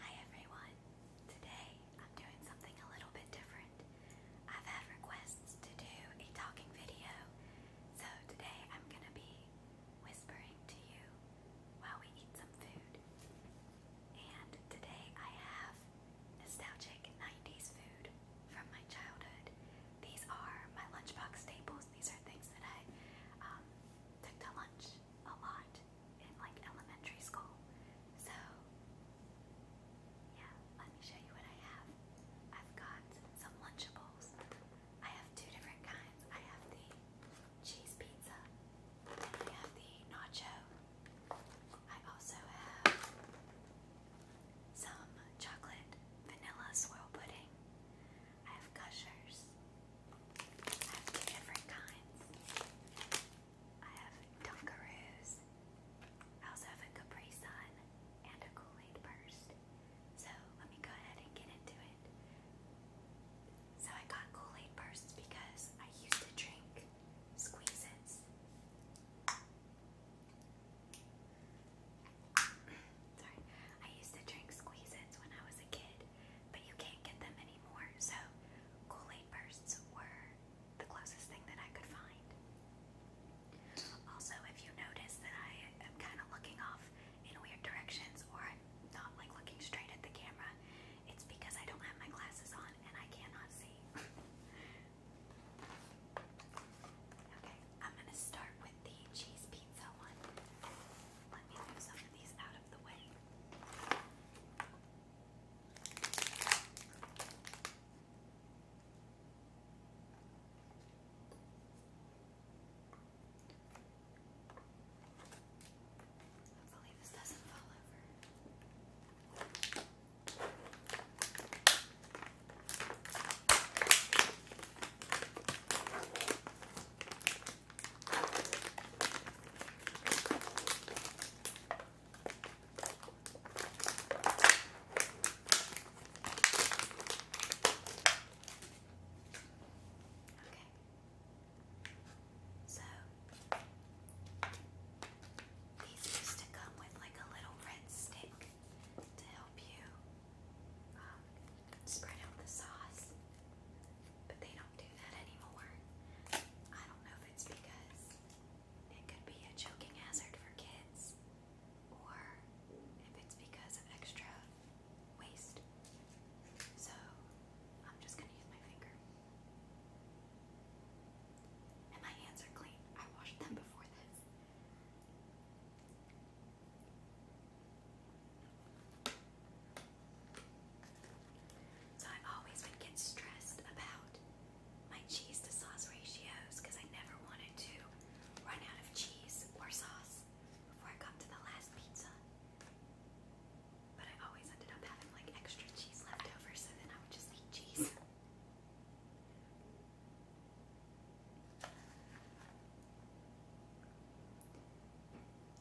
Hi everyone! Today I'm doing something a little bit different. I've had requests to do a talking video, so today I'm gonna be whispering to you while we eat some food. And today I have nostalgic 90s food from my childhood. These are my lunchbox staples, these are things that I um, cooked a lunch a lot in like elementary school. So yeah, let me show you what I have. I've got some Lunchables. I have two different kinds. I have the cheese pizza and I have the nacho. I also have some chocolate vanilla swirl pudding. I have gushers. I have two different kinds. I have Dunkaroos. I also have a Capri Sun and a Kool-Aid burst. So let me go ahead and get into it. So I got Kool-Aid bursts because I used to drink squeezes. Sorry. I used to drink squeezes when I was a kid but you can't get them anymore. So Kool-Aid bursts were the closest thing that I could find. Also, if you notice that I am kind of looking off in weird directions or I'm not like looking straight at the camera, it's because I don't have my glasses on and I cannot see. okay, I'm gonna start with the cheese pizza one. Let me move some of these out of the way. Hopefully, this doesn't fall over. Okay. So these used to come with like a little red stick to help you um, spread out the sauce but they don't do that anymore. I don't know if it's because it could be a choking hazard for kids or if it's because of extra waste. So I'm just going to use my finger. And my hands are clean. I washed them before this. So I always been get stressed about my cheese to sauce ratios because I never wanted to run out of cheese or sauce before I got to the last pizza. But I always ended up having like extra cheese left over, so then I would just eat cheese.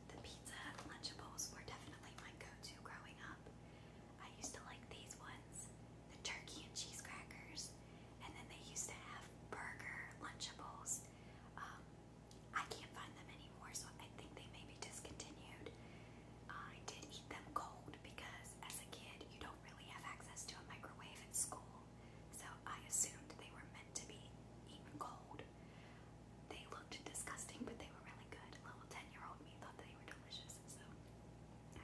The pizza Lunchables were definitely my go-to growing up. I used to like these ones, the turkey and cheese crackers, and then they used to have burger Lunchables. Um, I can't find them anymore, so I think they may be discontinued. I did eat them cold because as a kid you don't really have access to a microwave at school, so I assumed they were meant to be eaten cold. They looked disgusting, but they were really good. Little 10 year old me thought they were delicious, so. Okay.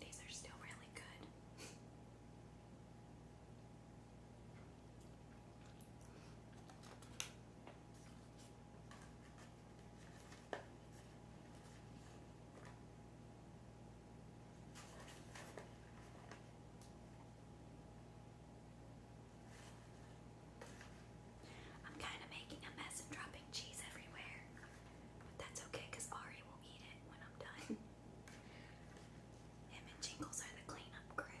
These are still really good. I'm kind of making a mess and dropping cheese everywhere. But that's okay because Ari will eat it when I'm done. Him and Jingles are the cleanup crew.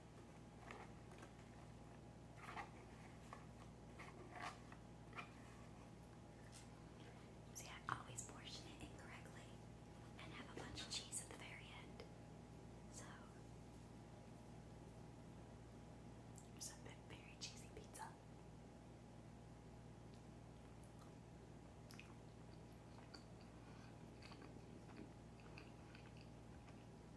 See, I always portion it incorrectly and have a bunch of cheese at the very end. So, there's a bit very cheesy pizza.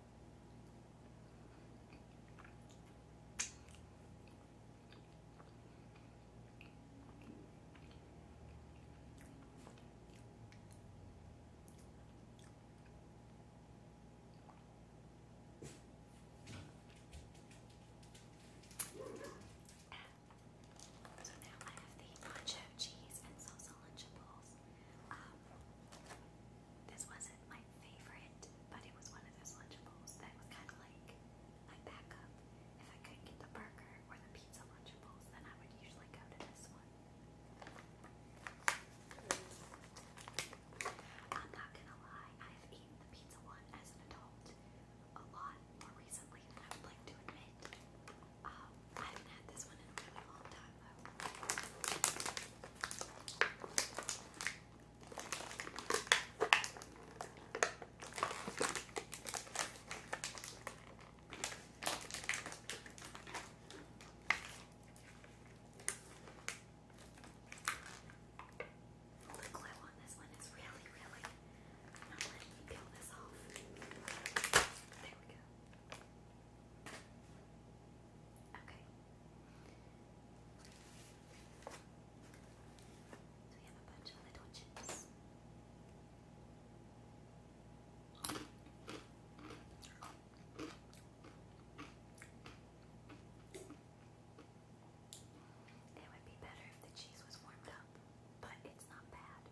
So now I have the nacho cheese and salsa lunchables. Um, this wasn't my favorite, but it was one of those Lunchables that was kind of like my backup. If I couldn't get the burger or the pizza Lunchables, then I would usually go to this one. I'm not gonna lie, I have eaten the pizza one as an adult a lot more recently than I would like to admit. Um, I haven't had this one in a really long time though. The glue on this one is really, really not letting me peel this off. There we go. Okay. So we have a bunch of little chips. It would be better if the cheese was warmed up, but it's not bad.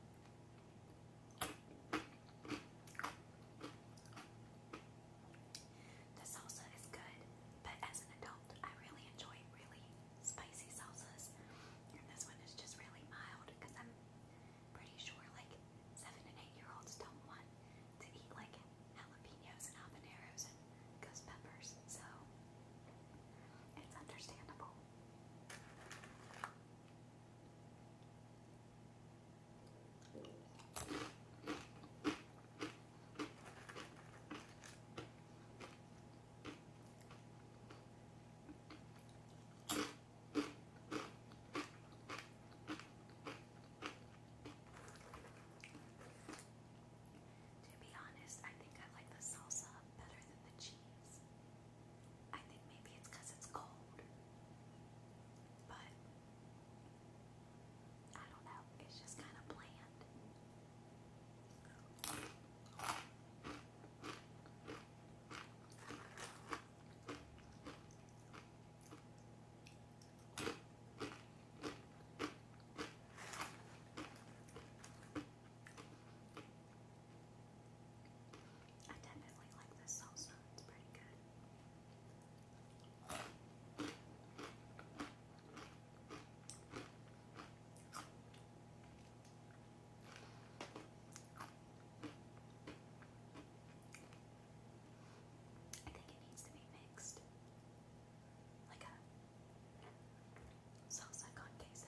The salsa is good, but as an adult, I really enjoy really spicy salsas. And this one is just really mild because I'm pretty sure like seven and eight year olds don't want to eat like jalapenos and habaneros and ghost peppers, so it's understandable. To be honest, I think I like the salsa better than the cheese. I think maybe it's it's cold. But I don't know, it's just kind of bland. I definitely like this salsa, it's pretty good. I think it needs to be mixed like a salsa con queso.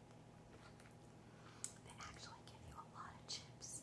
They actually give you a lot of chips.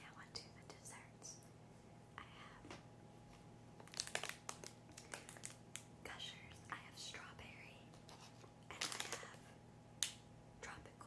Now onto the desserts. I have gushers, I have strawberry, and I have tropical.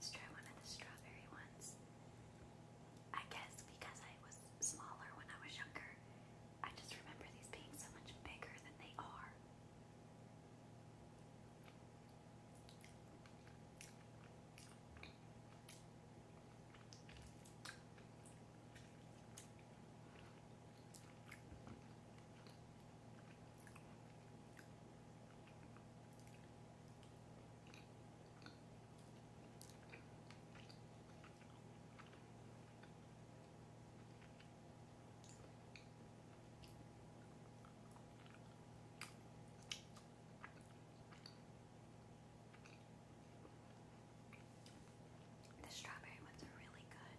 So let's try one of the strawberry ones. I guess because I was smaller when I was younger, I just remember these being so much bigger than they are. The strawberry ones are really good.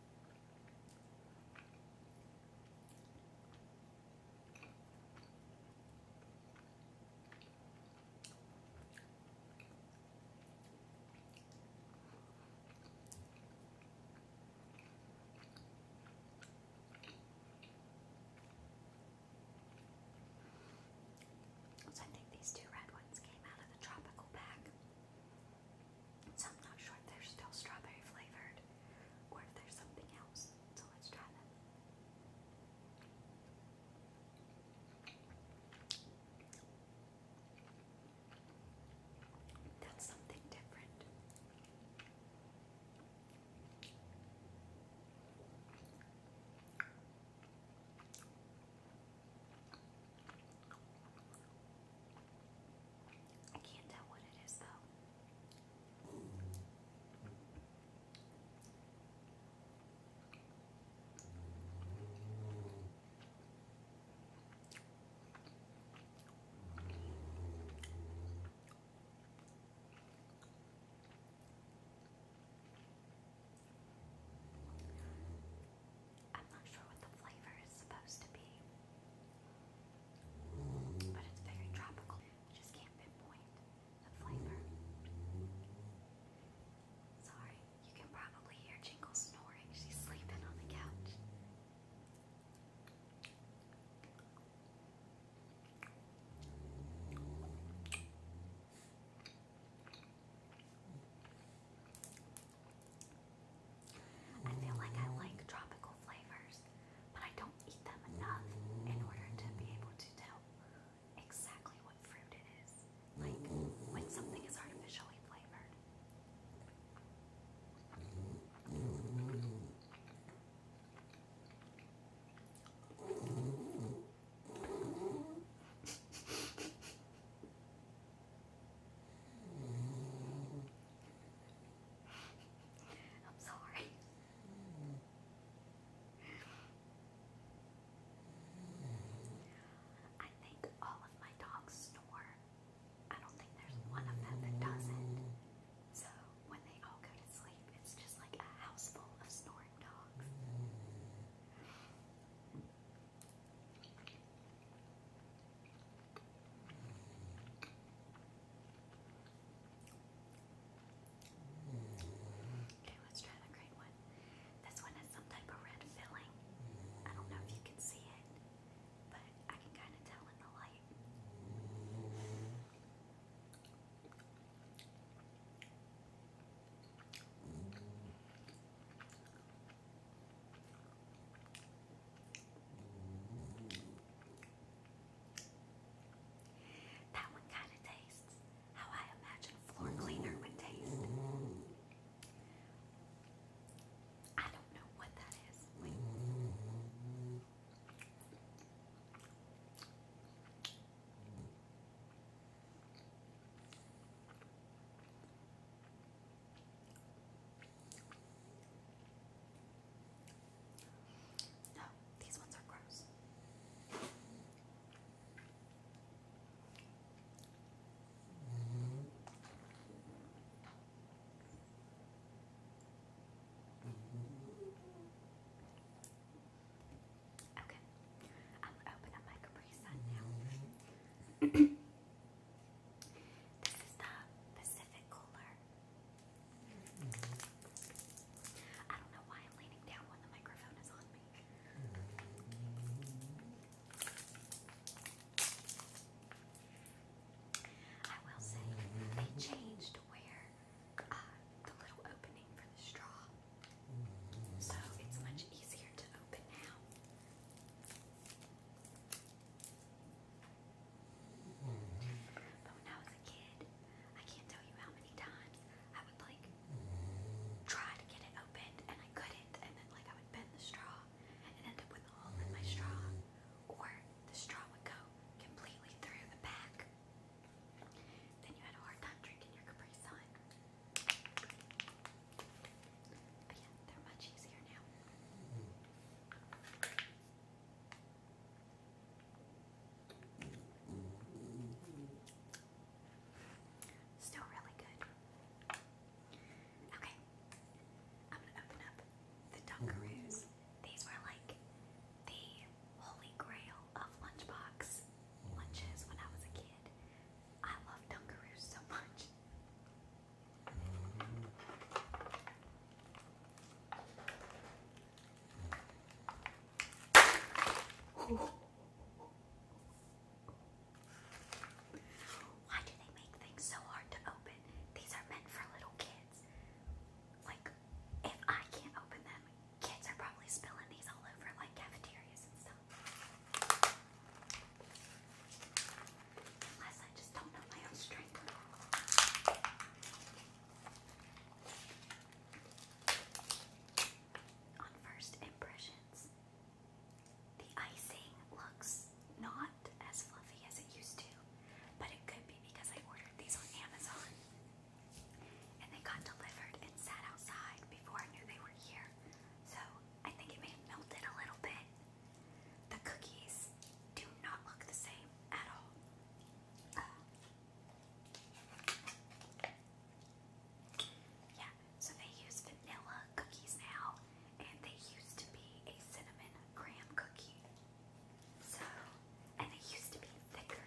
So I think these two red ones came out of the tropical pack. So I'm not sure if they're still strawberry flavored or if there's something else. So let's try them. That's something different. I can't tell what it is though. I'm not sure what the flavor is supposed to be, but it's very tropical. just can't pinpoint the flavor. Sorry, you can probably hear Jingle snoring. She's sleeping on the couch. I feel like I like tropical flavors, but I don't eat them enough in order to be able to tell exactly what fruit it is, like when something is artificially flavored. I'm sorry. I think all of my dogs snore. I don't think there's one of them that doesn't. So when they all go to sleep, it's just like a house full of snoring dogs. Okay, let's try the green one. This one has some type of red filling. I don't know if you can see it, but I can kind of tell in the light. That one kind of tastes how I imagine floor cleaner would taste. I don't know what that is. No, these ones are gross. Okay, I'm going my Capri Sun now. Mm-hmm. This is the Pacific Cooler. Mm-hmm. I don't know why I'm leaning down when the microphone is on me. I will say they changed where uh, the little opening for the straw, so it's much easier to open now. But when I was a kid, I can't tell you how many times I would like try to get it opened and I couldn't, and then like I would bend the straw and end up with a hole in my straw, or the straw would go completely through the back. Then you had a hard time drinking your Capri But yeah, they're much easier now. Still really good. Okay, I'm gonna open up the Dunkaroos. These were like the holy grail of lunchbox lunches when I was a kid. I love Dunkaroos so much. Why do they make things so hard to open? These are meant for little kids. Like, if I can't open them, kids are probably spilling these all over like cafeterias and stuff. Unless On first impressions, the icing looks not as fluffy as it used to, but it could be because I ordered these on Amazon and they got delivered and sat outside before I knew they were here. So I think it may have melted a little bit. The cookies do not look the same at all. Uh, yeah, so they use vanilla cookies now, and they used to be a cinnamon graham cookie. So, and they used to be thicker.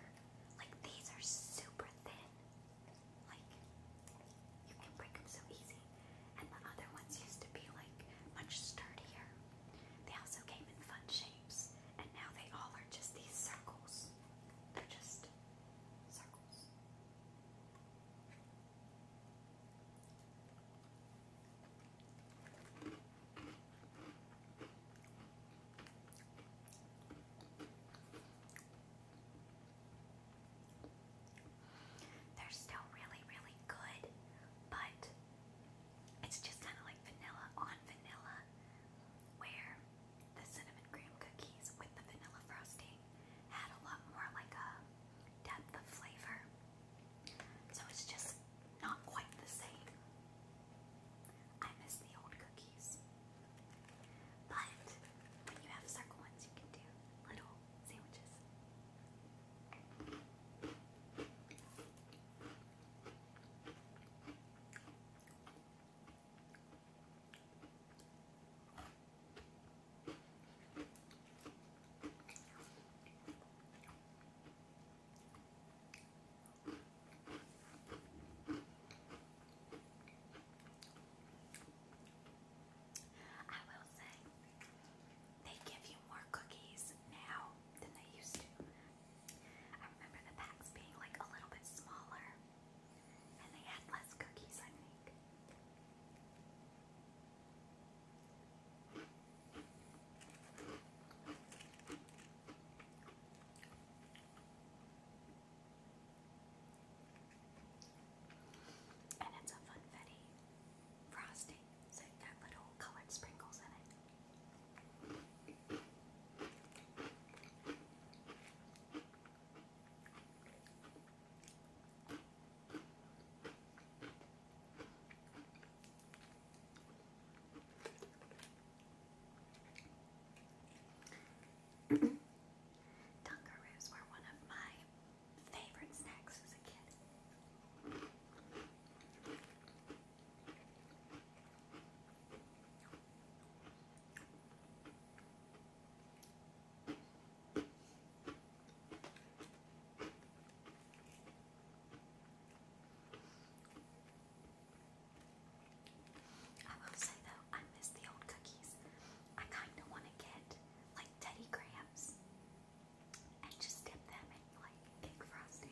Like these are super thin. Like, you can break them so easy and the other ones used to be like much sturdier. They also came in fun shapes, and now they all are just these circles. They're just circles. They're still really, really good, but it's just kind of like vanilla on vanilla, where the cinnamon cream cookies with the vanilla frosting had a lot more like a depth of flavor. So it's just not quite the same. I miss the old cookies. But when you have circle ones, you can do little sandwiches. I will say they give you more cookies now than they used to. I remember the packs being like a little bit smaller and they had less cookies, I think. And a funfetti frosting. So you got little colored sprinkles in it. Dunkaroos were one of my favorite snacks as a kid. I will say though, I miss the old cookies. I kind of want to get like Teddy Grahams and just dip them in like cake frosting.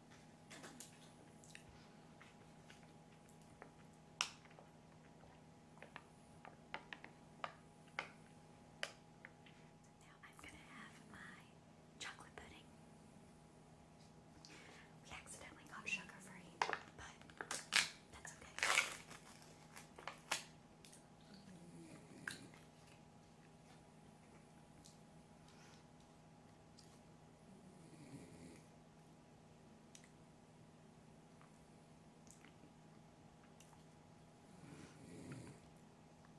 Now I'm going to have my chocolate pudding. We accidentally got sugar free, but that's okay.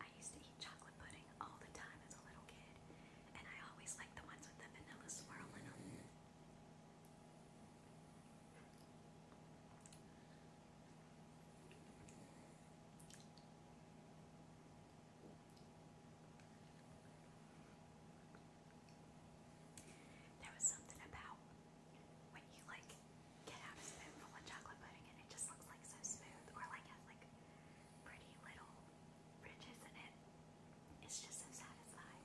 I used to eat chocolate pudding all the time as a little kid, and I always liked the ones with the vanilla swirl in them. There was something about when you like get out a spoonful of chocolate pudding and it just looks like so smooth or like has like pretty little ridges in it. It's just so satisfying.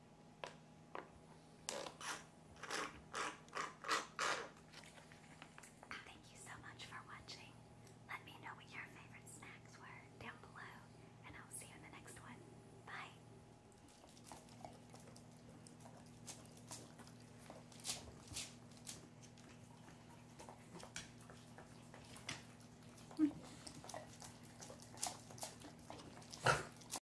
Thank you so much for watching. Let me know what your favorite snacks were down below, and I'll see you in the next one. Bye.